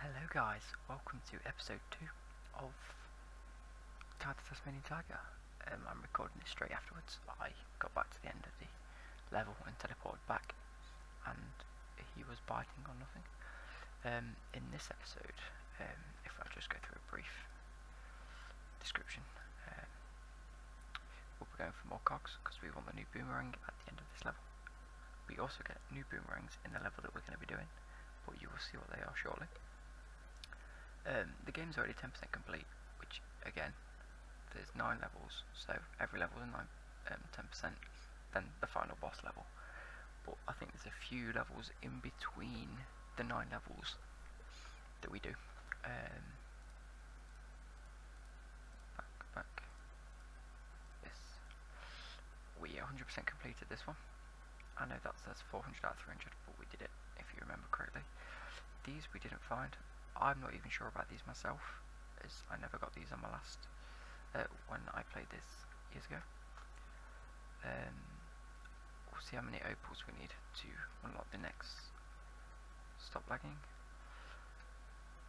Hello guys, welcome to episode 2 of Guide to Tasmanian Tiger. Um, I'm recording this straight afterwards. I got back to the end of the level and teleported back and he was biting on nothing. Um, in this episode, um, if I just go through a brief description, um, we'll be going for more cogs because we want the new boomerang at the end of this level. We also get new boomerangs in the level that we're going to be doing, but you will see what they are shortly. the game's already 10% complete, which again, there's 9 levels, so every level is 9 10% um, than the final boss level. But I think there's a few levels in between the nine levels that we do. Um, back, back. Yes. We 100% completed this one. I know that says 400 out of 300, but we did it, if you remember correctly. These we didn't find. I'm not even sure about these myself, as I never got these on my last, uh, when I I played this years ago. we'll see how many opals we need to unlock the next. Stop lagging.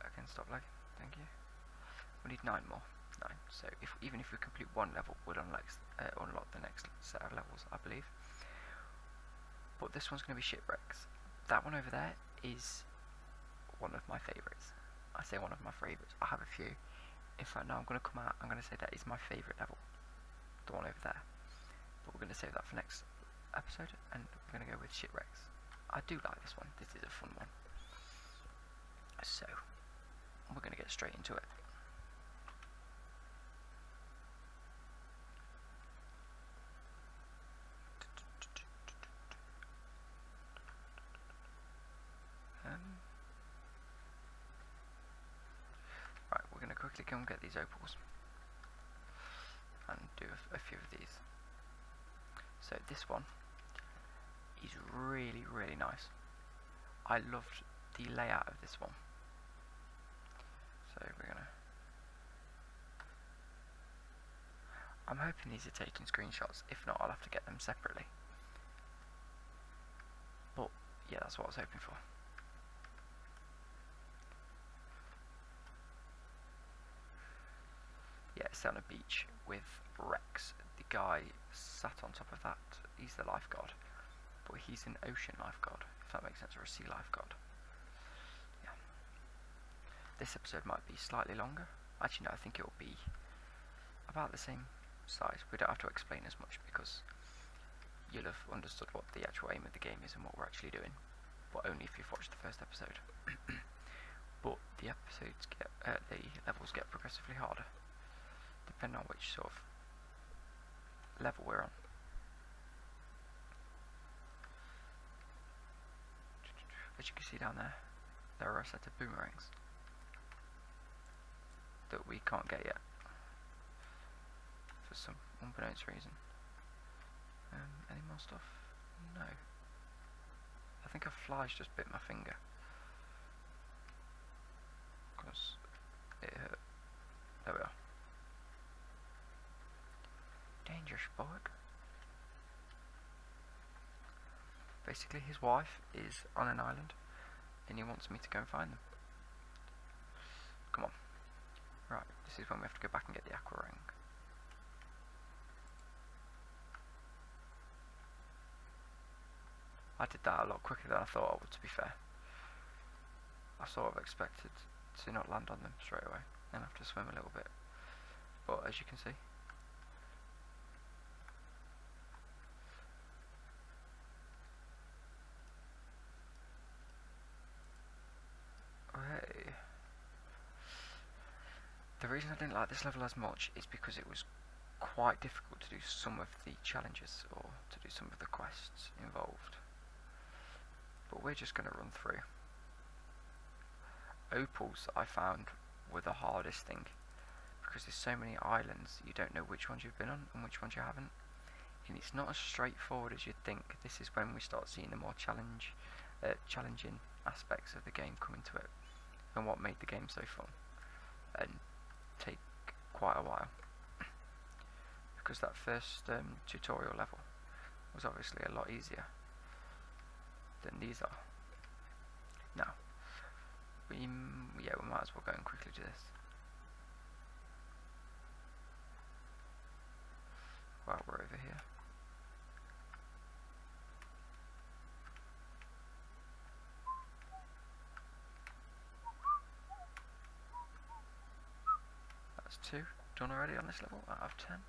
Again, stop lagging, thank you. We need 9 more. Nine. So if, even if we complete one level, we'll unlock, uh, unlock the next set of levels, I believe. But this one's going to be shipwrecks. That one over there is one of my favourites. I say one of my favourites, I have a few. If I know I'm going to come out, I'm going to say that is my favourite level. The one over there. But we're going to save that for next episode, and we're going to go with Shipwrecks. I do like this one, this is a fun one. So, we're going to get straight into it. Um, right, we're going to quickly go and get these opals and do a, a few of these. So this one is really, really nice. I loved the layout of this one. So we're going to I'm hoping these are taking screenshots. If not, I'll have to get them separately. But, yeah, that's what I was hoping for. Yeah, it's down a beach with Rex. The guy sat on top of that. He's the lifeguard. But he's an ocean lifeguard, if that makes sense, or a sea lifeguard. Yeah. This episode might be slightly longer, Actually, no, I think it will be about the same size. We don't have to explain as much because you'll have understood what the actual aim of the game is and what we're actually doing, but only if you've watched the first episode. but the episodes get, uh, the levels get progressively harder, depending on which sort of level we're on. As you can see down there, there are a set of boomerangs that we can't get yet for some unknown reason. Um, any more stuff? No. I think a fly just bit my finger. Because it hurt. There we are. Danger spot. Basically, his wife is on an island, and he wants me to go and find them. Come on. Right, this is when we have to go back and get the aqua ring. I did that a lot quicker than I thought I would, to be fair. I sort of expected to not land on them straight away and have to swim a little bit. But as you can see, the reason I didn't like this level as much is because it was quite difficult to do some of the challenges or to do some of the quests involved. But we're just going to run through. Opals I found were the hardest thing because there's so many islands you don't know which ones you've been on and which ones you haven't and it's not as straightforward as you'd think this is when we start seeing the more challenge uh, challenging aspects of the game come into it and what made the game so fun and take quite a while because that first um, tutorial level was obviously a lot easier than these are no. We, yeah, we might as well go and quickly do this. While we're over here. That's two. Done already on this level? Out of ten?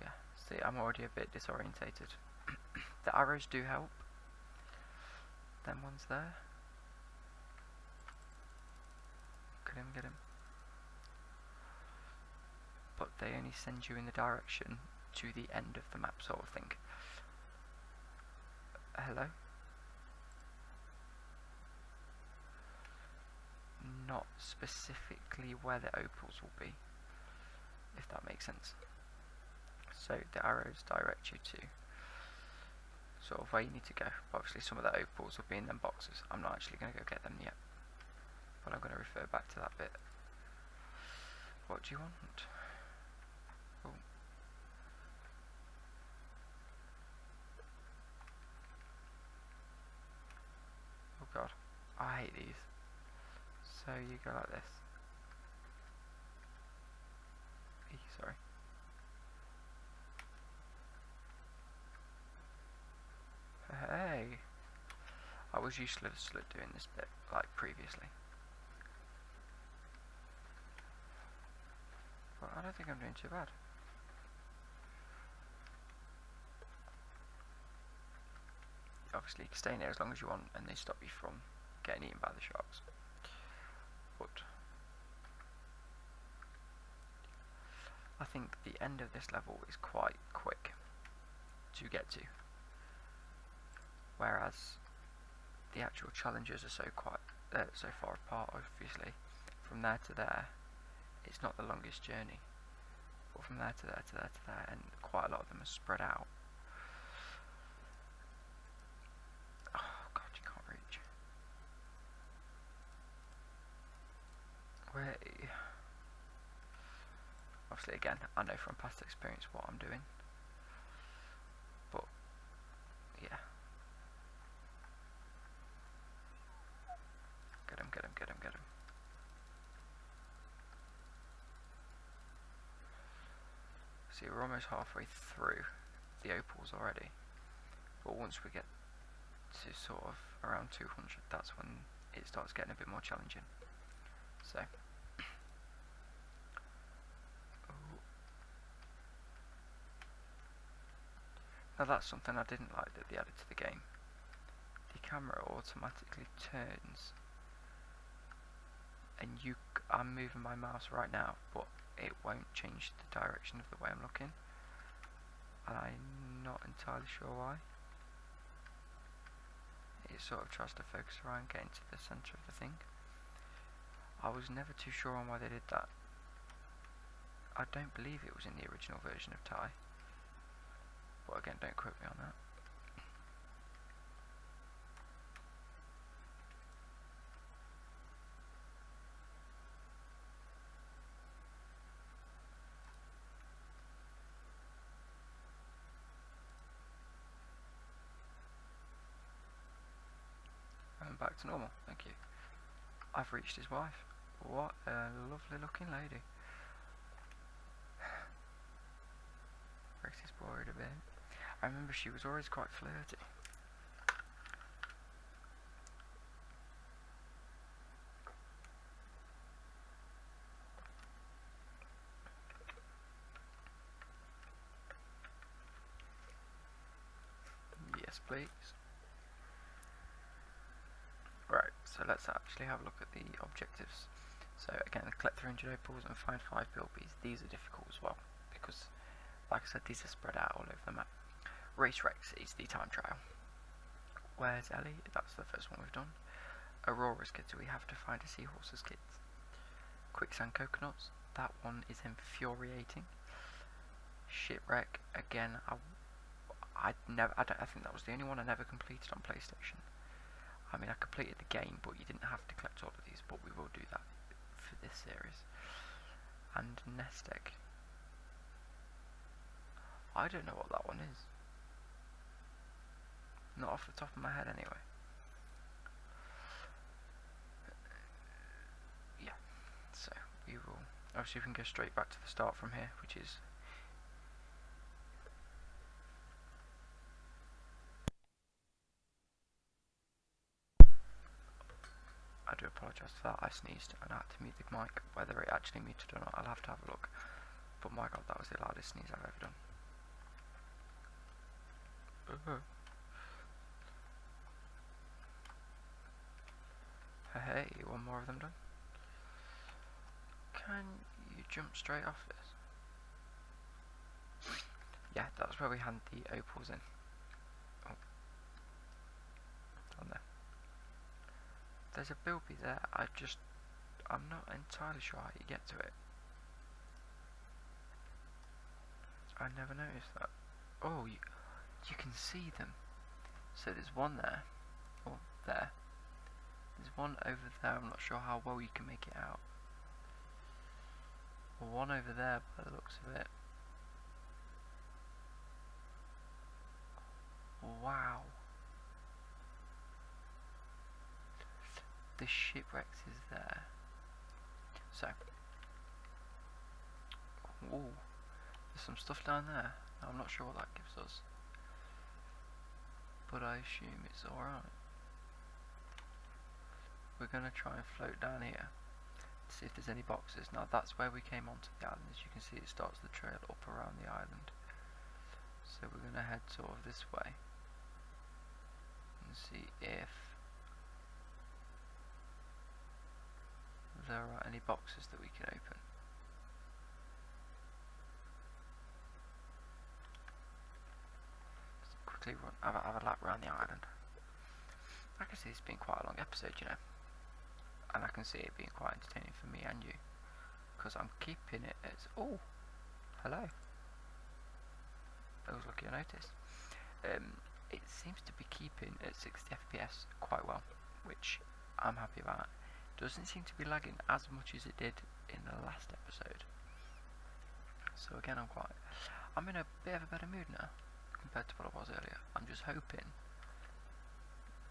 yeah, see, I'm already a bit disorientated. the arrows do help. Them ones there. Get him, get him. But they only send you in the direction to the end of the map sort of thing. Hello? not specifically where the opals will be, if that makes sense. So the arrows direct you to sort of where you need to go. Obviously some of the opals will be in them boxes. I'm not actually going to go get them yet, but I'm going to refer back to that bit. What do you want? Oh. Oh god, I hate these. So you go like this. sorry. Hey! I was useless at doing this bit, like previously. Well, I don't think I'm doing too bad. Obviously, you can stay in there as long as you want, and they stop you from getting eaten by the sharks. But I think the end of this level is quite quick to get to, whereas the actual challenges are so quite quite uh, so far apart obviously from there to there it's not the longest journey but from there to there to there to there and quite a lot of them are spread out oh god you can't reach where obviously again I know from past experience what I'm doing but yeah Get him, get him, get him, get him. See, we're almost halfway through the opals already. But once we get to sort of around 200, that's when it starts getting a bit more challenging. So. Oh, now that's something I didn't like that they added to the game. The camera automatically turns and I'm moving my mouse right now but it won't change the direction of the way I'm looking and I'm not entirely sure why. It sort of tries to focus around getting to the centre of the thing. I was never too sure on why they did that. I don't believe it was in the original version of Thai. But again, don't quote me on that and back to normal. Thank you. I've reached his wife. What a lovely looking lady. Rex is bored a bit. I remember she was always quite flirty. Yes, please. Right, so let's actually have a look at the objectives. So again, collect 300 opals and find 5 bilbies. These are difficult as well, because like I said, these are spread out all over the map. Race Rex is the time trial. Where's Ellie? That's the first one we've done. Aurora's kids, we have to find a seahorse's kids. Quicksand coconuts, that one is infuriating. Shipwreck, again, I, I never, I, don't, I think that was the only one I never completed on PlayStation. I mean, I completed the game, but you didn't have to collect all of these, but we will do that for this series. And Nest Egg. I don't know what that one is. Not off the top of my head, anyway yeah, so we will, obviously we can go straight back to the start from here, which is I do apologise for that, I sneezed and I had to mute the mic, whether it actually muted or not, I'll have to have a look. But my god, that was the loudest sneeze I've ever done. Uh -huh. Hey, one more of them done. Can you jump straight off this? Yeah, that's where we hand the opals in. Oh. Down there. There's a bilby there, I just... I'm not entirely sure how you get to it. I never noticed that. Oh, you, can see them. So there's one there, or there. There's one over there, I'm not sure how well you can make it out. Or one over there by the looks of it. Wow. The shipwreck is there. So, Whoa, there's some stuff down there. I'm not sure what that gives us. But I assume it's alright. We're going to try and float down here see if there's any boxes. Now that's where we came onto the island. As you can see it starts the trail up around the island. So we're going to head sort of this way and see if there are any boxes that we can open. let quickly run, have a, have lap around the island. I can see it's been quite a long episode, you know. And I can see it being quite entertaining for me and you. Because I'm keeping it as... Oh! Hello. I was lucky I noticed. Um, it seems to be keeping at sixty. FPS quite well, which I'm happy about. Doesn't seem to be lagging as much as it did in the last episode. So again, I'm quite, I'm in a bit of a better mood now compared to what I was earlier. I'm just hoping.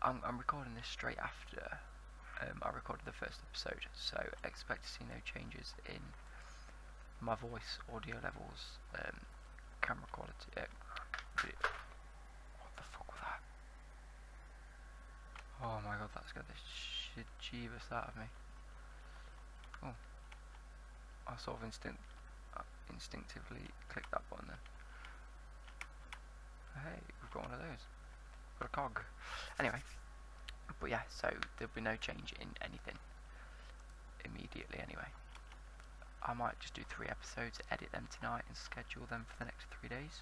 I'm, recording this straight after um, I recorded the first episode, so expect to see no changes in my voice, audio levels, um, camera quality. Uh, what the fuck was that? Oh my god, that's got the shit out of me. Oh, I sort of instinct, uh, instinctively clicked that button then. Hey, we've got one of those. Got a cog. Anyway, but yeah, so there'll be no change in anything immediately anyway. I might just do three episodes, edit them tonight and schedule them for the next three days.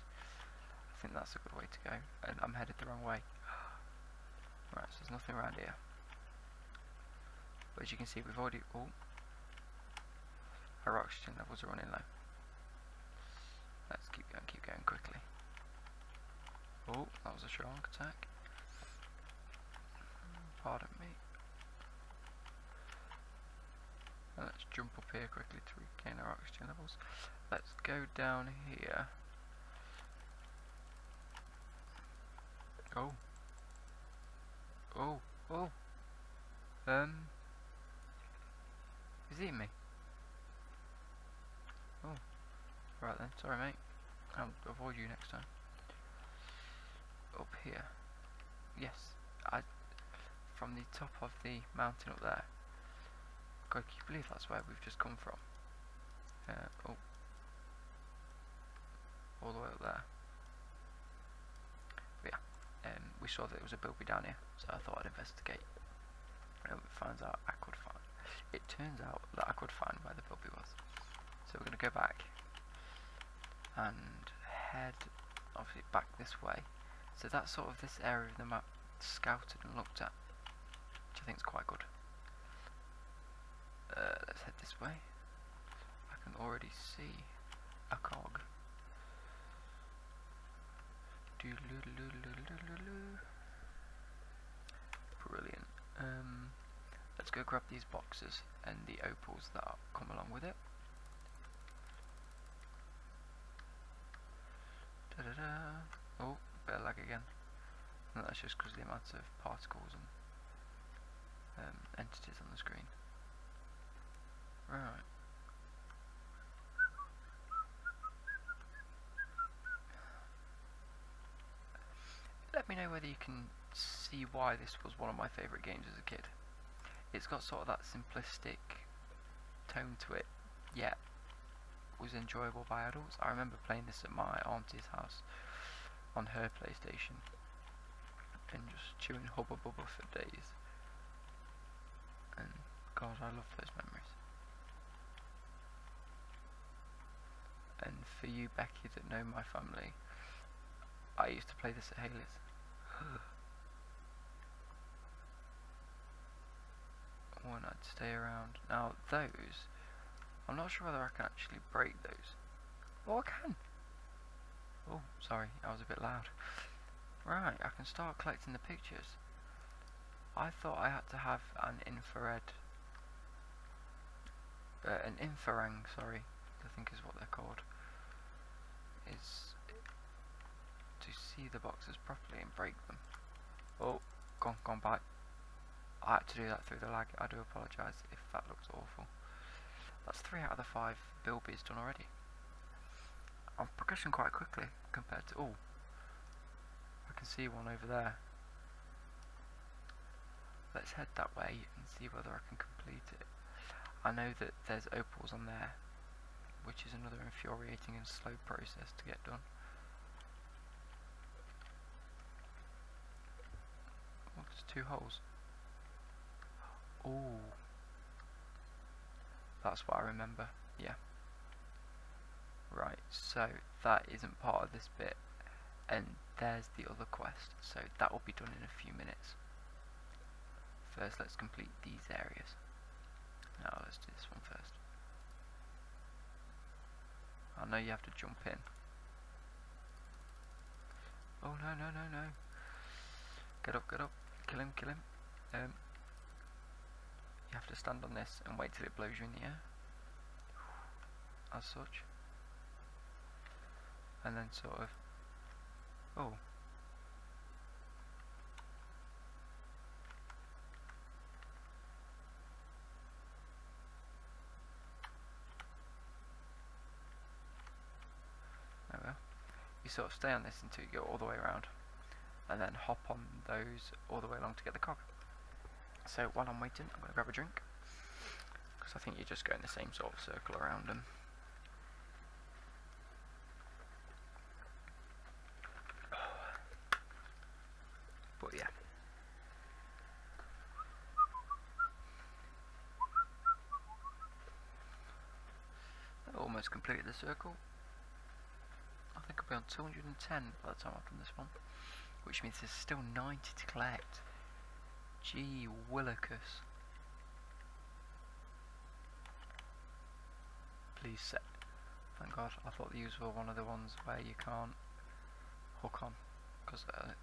I think that's a good way to go. I'm headed the wrong way. right, so there's nothing around here. But as you can see, we've already... Oh. Our oxygen levels are running low. Let's keep going, keep going quickly. Oh, that was a strong attack. Pardon me let's jump up here quickly to regain our oxygen levels. Let's go down here. Oh. Oh, oh. Um. Is he me? Oh. Right then, sorry mate. I'll avoid you next time up here yes I from the top of the mountain up there God can you believe that's where we've just come from uh, oh all the way up there yeah um, we saw that there was a bilby down here so I thought I'd investigate and it out I could find it turns out that I could find where the bilby was so we're going to go back and head obviously back this way. So that's sort of this area of the map scouted and looked at, which I think is quite good. Uh, let's head this way. I can already see a cog. Brilliant. Um, let's go grab these boxes and the opals that come along with it. Oh, bit lag again. that's just because of the amount of particles and um, entities on the screen. Right. Let me know whether you can see why this was one of my favourite games as a kid. It's got sort of that simplistic tone to it, yet was enjoyable by adults. I remember playing this at my auntie's house on her PlayStation and just chewing Hubba Bubba for days. And God, I love those memories and for you Becky that know my family, I used to play this at Haley's. Why not stay around. Now those, I'm not sure whether I can actually break those. but oh, I can! Oh, sorry, I was a bit loud. Right, I can start collecting the pictures. I thought I had to have an infrared uh, an infrarang, sorry, I think is what they're called, is to see the boxes properly and break them. Oh, gone, gone back. I had to do that through the lag, I do apologise if that looks awful. That's three out of the five bilbies done already. I'm progressing quite quickly compared to all. Oh, I can see one over there. Let's head that way and see whether I can complete it. I know that there's opals on there, which is another infuriating and slow process to get done. Oh, two holes. Oh, that's what I remember, yeah. Right, so that isn't part of this bit, and there's the other quest so that will be done in a few minutes. First let's complete these areas. Now let's do this one first. I oh, know you have to jump in. Oh no no no no. Get up, get up. Kill him, kill him. Um, you have to stand on this and wait till it blows you in the air as such and then sort of oh there we are. you sort of stay on this until you go all the way around and then hop on those all the way along to get the cog so while I'm waiting, I'm going to grab a drink. Because I think you're just going the same sort of circle around them. But yeah. That almost completed the circle. I think I'll be on 210 by the time I've done this one. Which means there's still 90 to collect. G Willicus, Please set. Thank God, I thought these were one of the ones where you can't hook on. Because, uh,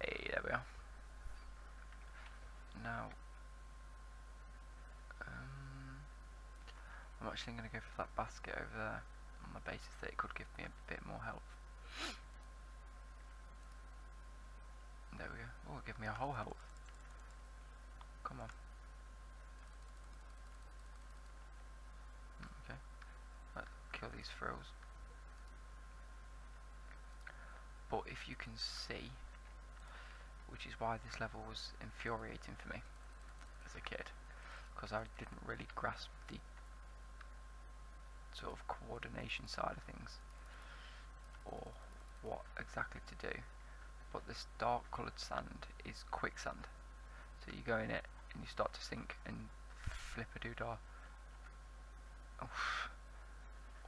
Hey, there we are. Now, um, I'm actually going to go for that basket over there on the basis that it could give me a bit more health. There we go. Oh, give me a whole health. Come on. Okay. Let's kill these frills. But if you can see, which is why this level was infuriating for me, as a kid because I didn't really grasp the sort of coordination side of things or what exactly to do but this dark coloured sand is quicksand so you go in it and you start to sink and flip a doodah Oof,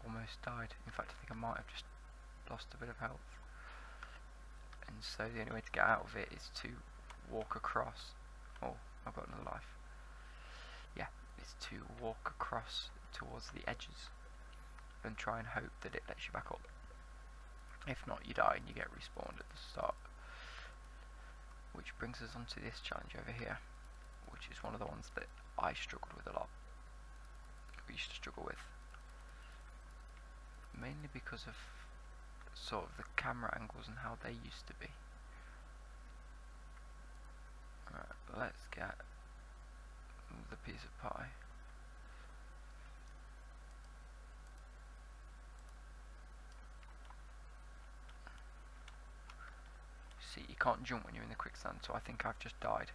almost died in fact I think I might have just lost a bit of health and so the only way to get out of it is to walk across oh I've got another life yeah it's to walk across towards the edges and try and hope that it lets you back up if not you die and you get respawned at the start which brings us on to this challenge over here which is one of the ones that I struggled with a lot we used to struggle with mainly because of sort of the camera angles and how they used to be. Right, let's get the piece of pie. See, you can't jump when you're in the quicksand, so I think I've just died.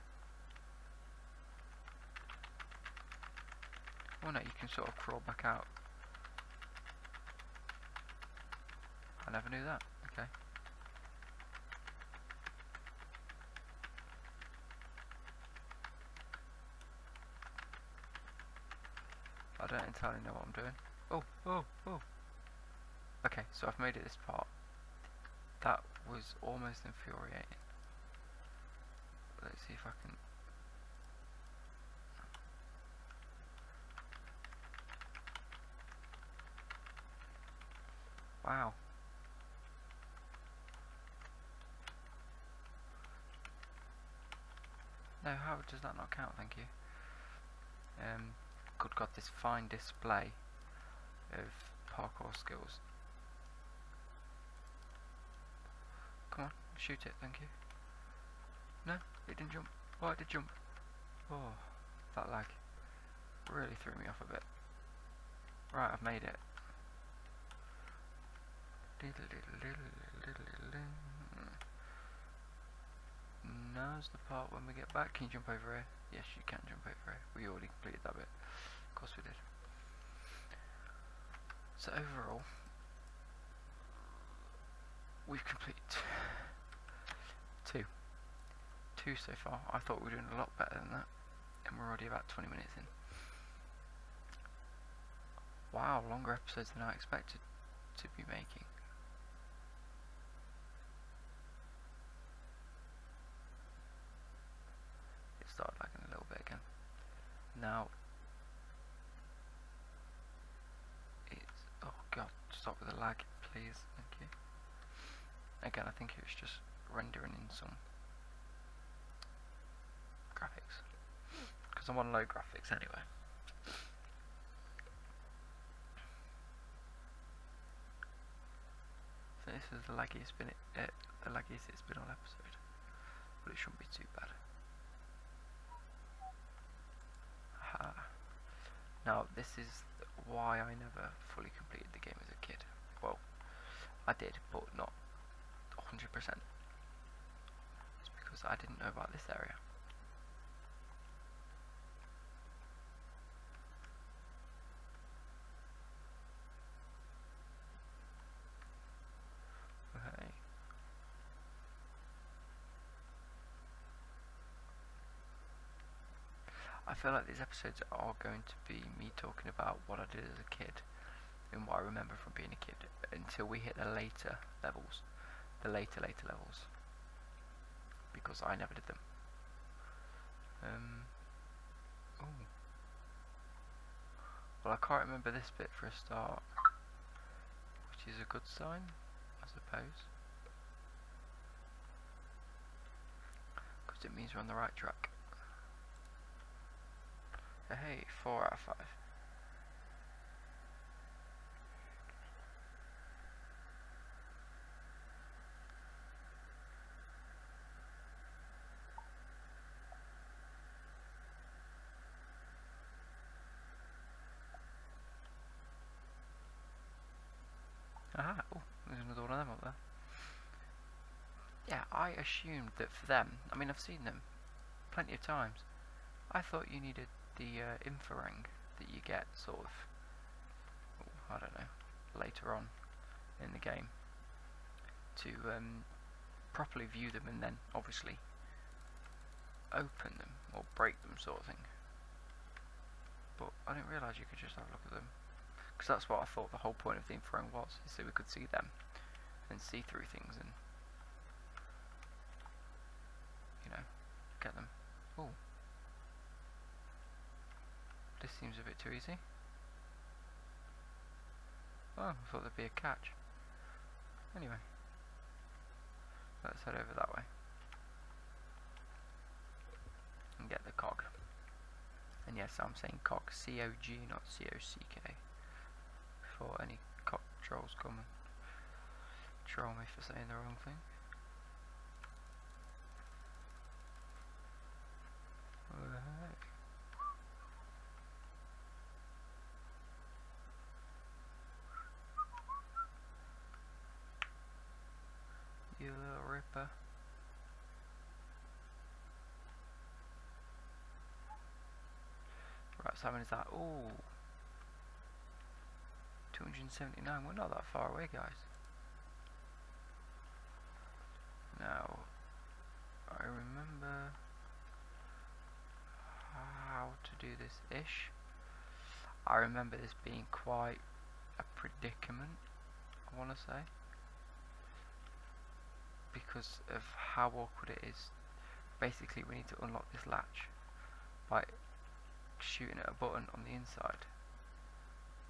Oh no, you can sort of crawl back out. I never knew that. Okay. I don't entirely know what I'm doing. Oh, oh, oh. Okay, so I've made it this part. That was almost infuriating let's see if I can wow no how does that not count thank you um good god this fine display of parkour skills Come on, shoot it, thank you. No, it didn't jump. Oh, it did jump. Oh, that lag really threw me off a bit. Right, I've made it. Now's the part when we get back. Can you jump over it? Yes, you can jump over it. We already completed that bit. Of course we did. So overall, we've completed two. Two so far. I thought we were doing a lot better than that. And we're already about 20 minutes in. Wow, longer episodes than I expected to be making. It started lagging a little bit again. Now, it's, oh god, stop with the lag, please, thank Again, I think it's just rendering in some graphics. Because I'm on low graphics anyway. this is the laggiest been it, uh, the laggiest it's been on but it shouldn't be too bad. Aha. Now, this is why I never fully completed the game as a kid. Well, I did, but not 100%. because I didn't know about this area. Okay. I feel like these episodes are going to be me talking about what I did as a kid and what I remember from being a kid until we hit the later levels, the later, later levels, because I never did them. Um, ooh. Well, I can't remember this bit for a start, which is a good sign, I suppose. Because it means we're on the right track. Hey, 4 out of 5. Aha, oh, there's another one of them up there. Yeah, I assumed that for them, I mean I've seen them plenty of times, I thought you needed the uh, inferring that you get sort of, I don't know, later on in the game to um, properly view them and then obviously open them or break them sort of thing. But I didn't realise you could just have a look at them. Because that's what I thought the whole point of the infrared was, is so we could see them and see through things and, you know, get them. Oh, This seems a bit too easy. Oh, I thought there'd be a catch. Anyway, let's head over that way and get the cog. And yes, I'm saying cog, C-O-G, not C-O-C-K, for any cog trolls coming. and troll me for saying the wrong thing. You little ripper. Right, so is that? Oh, 279. We're not that far away, guys. Now, I remember how to do this-ish. I remember this being quite a predicament, I want to say. Because of how awkward it is. Basically, we need to unlock this latch by shooting at a button on the inside.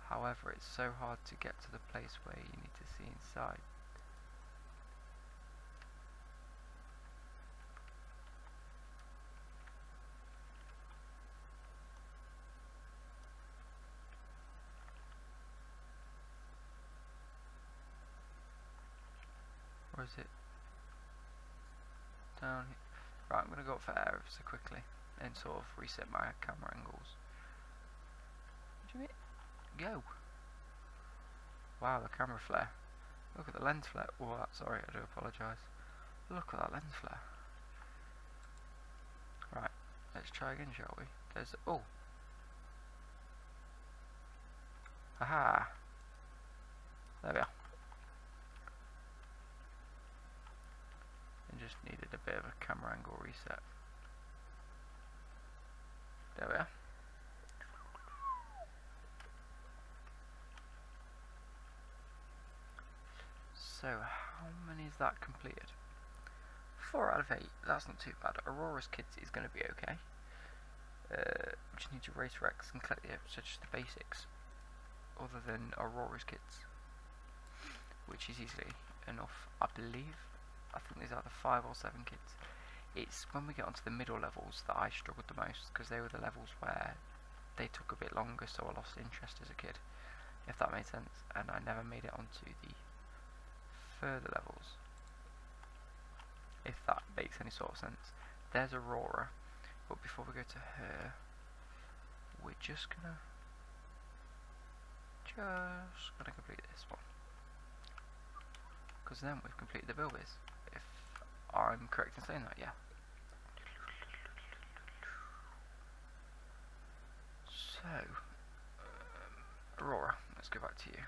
However, it's so hard to get to the place where you need to see inside. Or it down here? Right, I'm going to go for air so quickly and sort of reset my camera angles. Go! Wow, the camera flare. Look at the lens flare. Oh, sorry, I do apologise. Look at that lens flare. Right, let's try again, shall we? There's oh! Aha! There we are and just needed a bit of a camera angle reset. There we are. So how many is that completed? 4 out of 8, that's not too bad. Aurora's Kids is going to be okay. We uh, just need to race Rex and collect the episodes, just the basics. Other than Aurora's Kids which is easily enough, I believe. I think there's either five or seven kids. It's when we get onto the middle levels that I struggled the most because they were the levels where they took a bit longer, so I lost interest as a kid, if that made sense, and I never made it onto the further levels, if that makes any sort of sense. There's Aurora, but before we go to her, we're just gonna just gonna complete this one. Because then we've completed the builders. If I'm correct in saying that, yeah. So, um, Aurora, let's go back to you.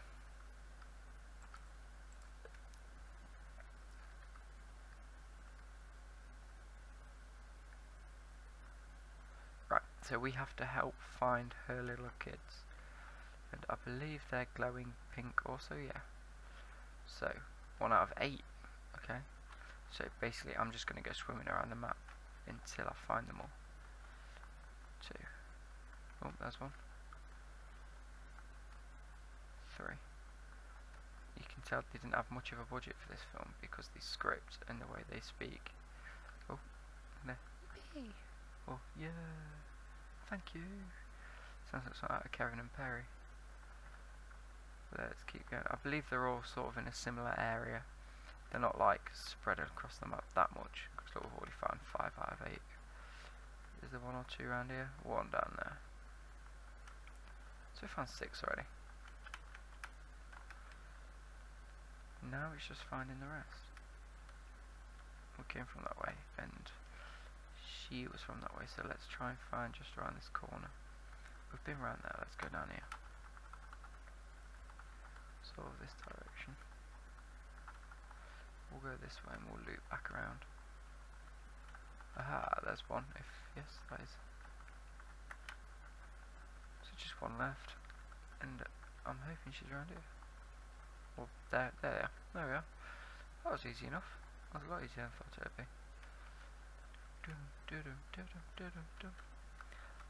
Right, so we have to help find her little kids. And I believe they're glowing pink also, yeah. So, one out of eight, okay. So basically I'm just going to go swimming around the map until I find them all. Two. Oh, there's one. Three. You can tell they didn't have much of a budget for this film because the script and the way they speak Oh, no. Oh, yeah. Thank you. Sounds like something out of Kevin and Perry. Let's keep going. I believe they're all sort of in a similar area. They're not like spread across the map that much. Because look, we've already found five out eight. Is there one or two around here? One down there. So we found six already. Now it's just finding the rest. We came from that way, and she was from that way, so let's try and find just around this corner. We've been around there, let's go down here. So this direction. We'll go this way and we'll loop back around. Aha, there's one, if, yes, that is. So just one left, and I'm hoping she's around here. Well, there, there There we are. That was easy enough. That was a lot easier than I thought it would be.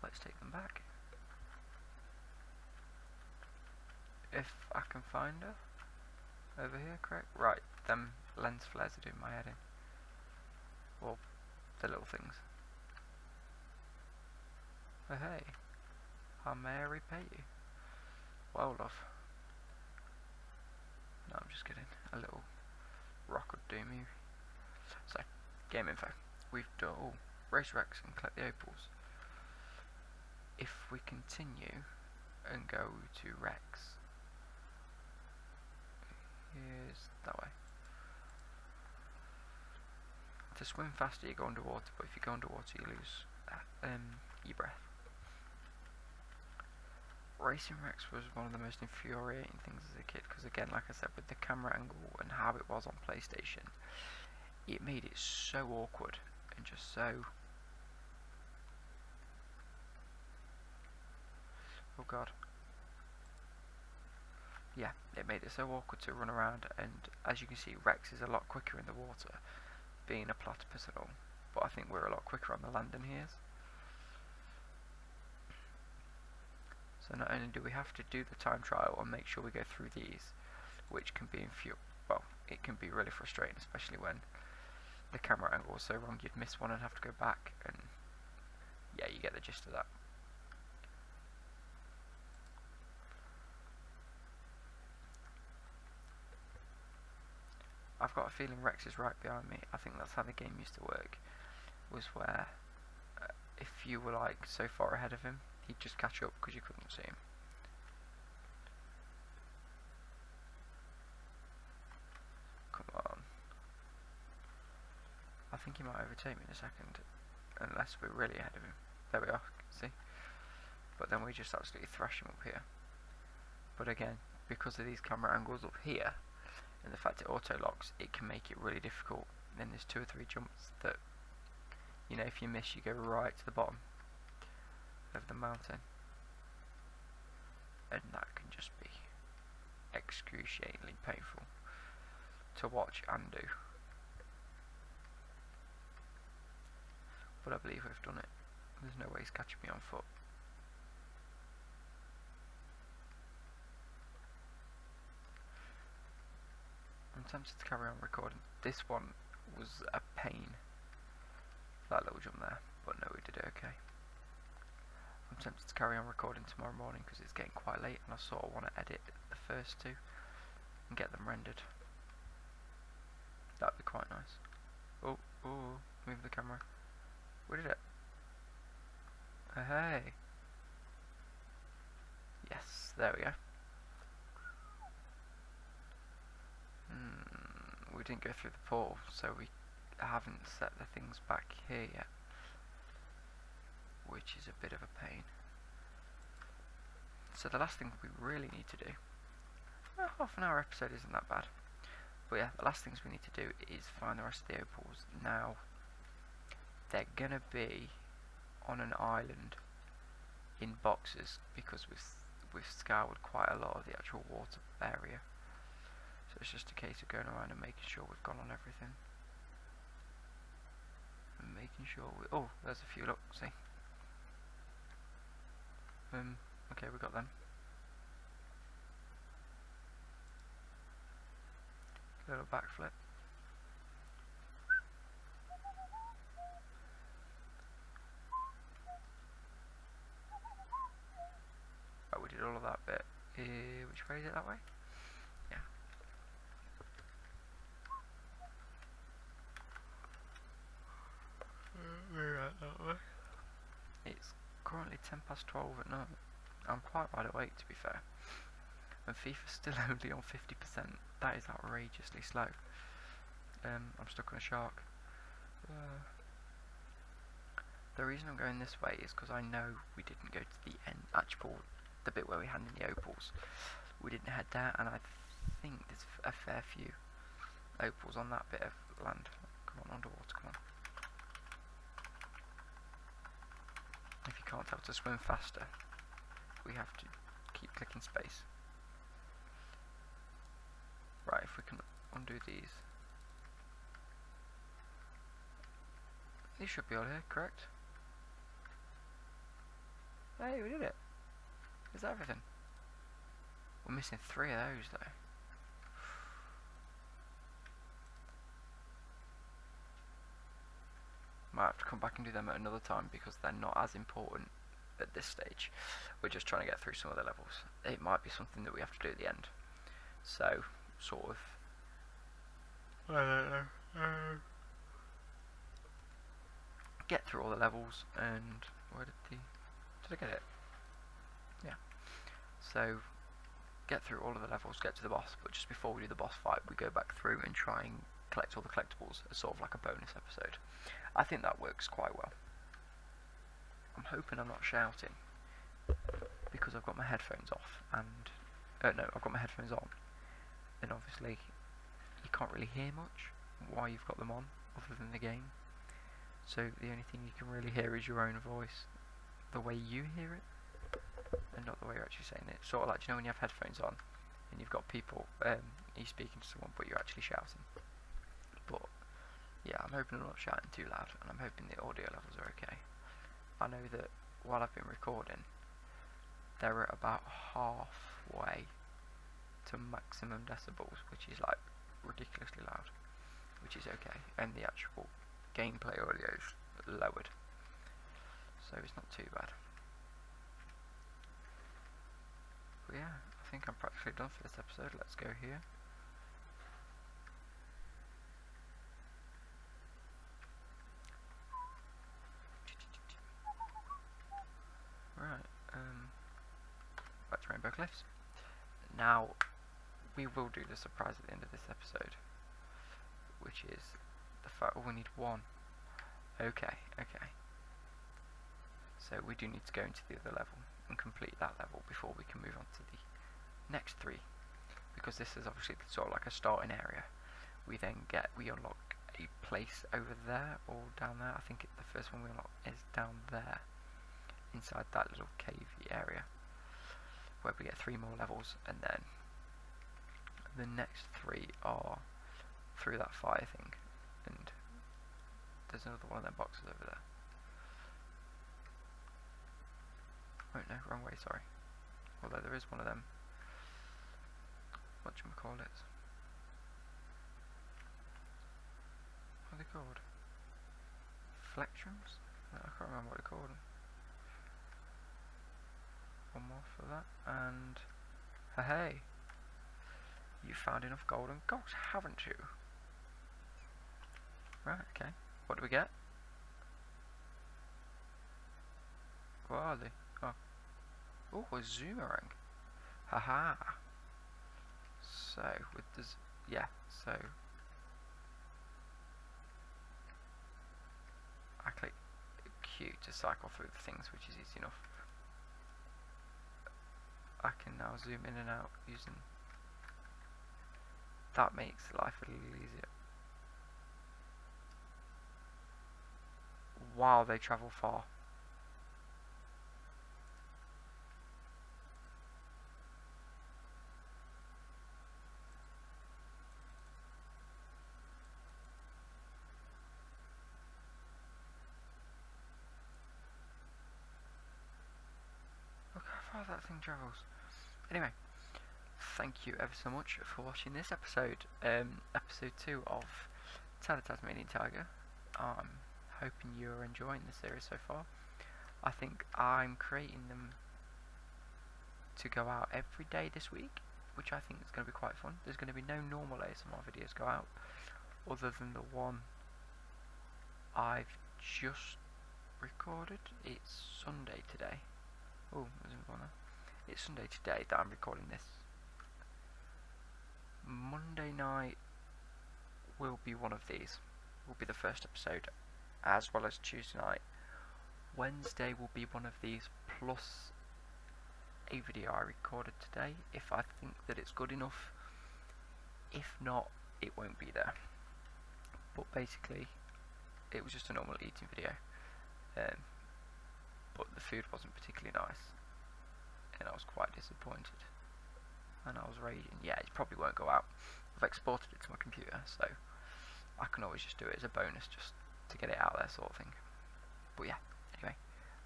Let's take them back. If I can find her. Over here, correct? Right, them lens flares are doing my head in. Well, the little things hey, how may I repay you? Well, love. No, I'm just kidding. A little rock would do me. So, game fact: We've done all. Race wrecks and collect the opals. If we continue and go to Rex, here's that way. To swim faster you go underwater, but if you go underwater you lose uh, um, your breath. Racing Rex was one of the most infuriating things as a kid because again like I said with the camera angle and how it was on PlayStation it made it so awkward and just so oh god yeah, it made it so awkward to run around and as you can see Rex is a lot quicker in the water, being a platypus at all, but I think we're a lot quicker on the land than he is. So not only do we have to do the time trial and make sure we go through these, which can be infuriating, well, it can be really frustrating, especially when the camera angle is so wrong you'd miss one and have to go back, and yeah, you get the gist of that. I've got a feeling Rex is right behind me. I think that's how the game used to work. Was where uh, if you were like so far ahead of him, he'd just catch up because you couldn't see him. Come on. I think he might overtake me in a second, unless we're really ahead of him. There we are, see? But then we just absolutely thrash him up here. But again, because of these camera angles up here, and the fact it auto-locks, it can make it really difficult. Then there's two or three jumps that, you know, if you miss, you go right to the bottom of the mountain. And that can just be excruciatingly painful to watch and do. But I believe we have done it. There's no way he's catching me on foot. I'm tempted to carry on recording. This one was a pain. That little jump there, but no, we did it okay. I'm tempted to carry on recording tomorrow morning because it's getting quite late and I sort of want to edit the first two and get them rendered. That would be quite nice. Oh, oh, move the camera. Where did it? Oh, hey. Yes, there we go. Hmm, we didn't go through the portal, so we haven't set the things back here yet which is a bit of a pain. So the last thing we really need to do, well, half an hour episode isn't that bad, but yeah, the last things we need to do is find the rest of the opals. Now, they're going to be on an island in boxes because we've scoured quite a lot of the actual water area. So it's just a case of going around and making sure we've gone on everything making sure we, oh, there's a few, look, see. Um, okay, we got them. Little backflip. Oh, we did all of that bit. Uh, which way is it that way? Yeah. We're right that way. It's currently 10 past 12 at night. I'm quite wide awake to be fair. And FIFA's still only on 50%. That is outrageously slow. Um, I'm stuck on a shark. The reason I'm going this way is because I know we didn't go to the end, Atchport, the bit where we had the opals. We didn't head there, and I think there's a fair few opals on that bit of land. Come on, underwater, come on. If you can't help to swim faster, we have to keep clicking space. Right, if we can undo these. This should be all here, correct? Hey, we did it. Is everything? We're missing three of those though. Might have to come back and do them at another time because they're not as important at this stage. We're just trying to get through some of the levels. It might be something that we have to do at the end. So, sort of uh, uh, get through all the levels and where did the did I get it? Yeah. So get through all of the levels, get to the boss, but just before we do the boss fight we go back through and try and collect all the collectibles It's sort of like a bonus episode. I think that works quite well. I'm hoping I'm not shouting because I've got my headphones off and uh, no I've got my headphones on And obviously you can't really hear much why you've got them on other than the game so the only thing you can really hear is your own voice the way you hear it and not the way you're actually saying it sort of like you know when you have headphones on and you've got people um, you're speaking to someone but you're actually shouting but yeah I'm hoping I'm not shouting too loud and I'm hoping the audio levels are okay I know that while I've been recording, they're at about halfway to maximum decibels, which is like ridiculously loud, which is okay, and the actual gameplay audio is lowered, so it's not too bad. But yeah, I think I'm practically done for this episode, let's go here. Right, um, back Rainbow Cliffs. Now, we will do the surprise at the end of this episode, which is the fact oh, we need one. Okay, okay. So we do need to go into the other level and complete that level before we can move on to the next three, because this is obviously sort of like a starting area, we then get, we unlock a place over there or down there. I think the first one we unlock is down there, inside that little cavey area, where we get three more levels, and then the next three are through that fire thing, and there's another one of them boxes over there. Oh no, wrong way, sorry. Although there is one of them. What do you call it? What are they called? Flectrums? I can't remember what they're called. One more for that, and hey, you found enough gold and gold, haven't you? Right, okay. What do we get? Where are they? Oh. Oh, a zoomerang. Haha. So, with this... Yeah, so... I click Q to cycle through the things, which is easy enough. I can now zoom in and out using that makes life a little easier. Wow, they travel far. Look how far that thing travels. Anyway, thank you ever so much for watching this episode, um, episode 2 of Tell the Tasmanian Tiger. I'm hoping you're enjoying the series so far. I think I'm creating them to go out every day this week, which I think is going to be quite fun. There's going to be no normal ASMR videos go out, other than the one I've just recorded. It's Sunday today. Oh, It's Sunday today that I'm recording this. Monday night will be one of these. Will be the first episode, as well as Tuesday night. Wednesday will be one of these plus a video I recorded today if I think that it's good enough. If not, it won't be there. But basically, it was just a normal eating video. Um, but the food wasn't particularly nice. And I was quite disappointed. And I was raging. Yeah, it probably won't go out. I've exported it to my computer, so I can always just do it as a bonus just to get it out there sort of thing. But yeah, anyway,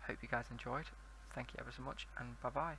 hope you guys enjoyed. Thank you ever so much, and bye-bye.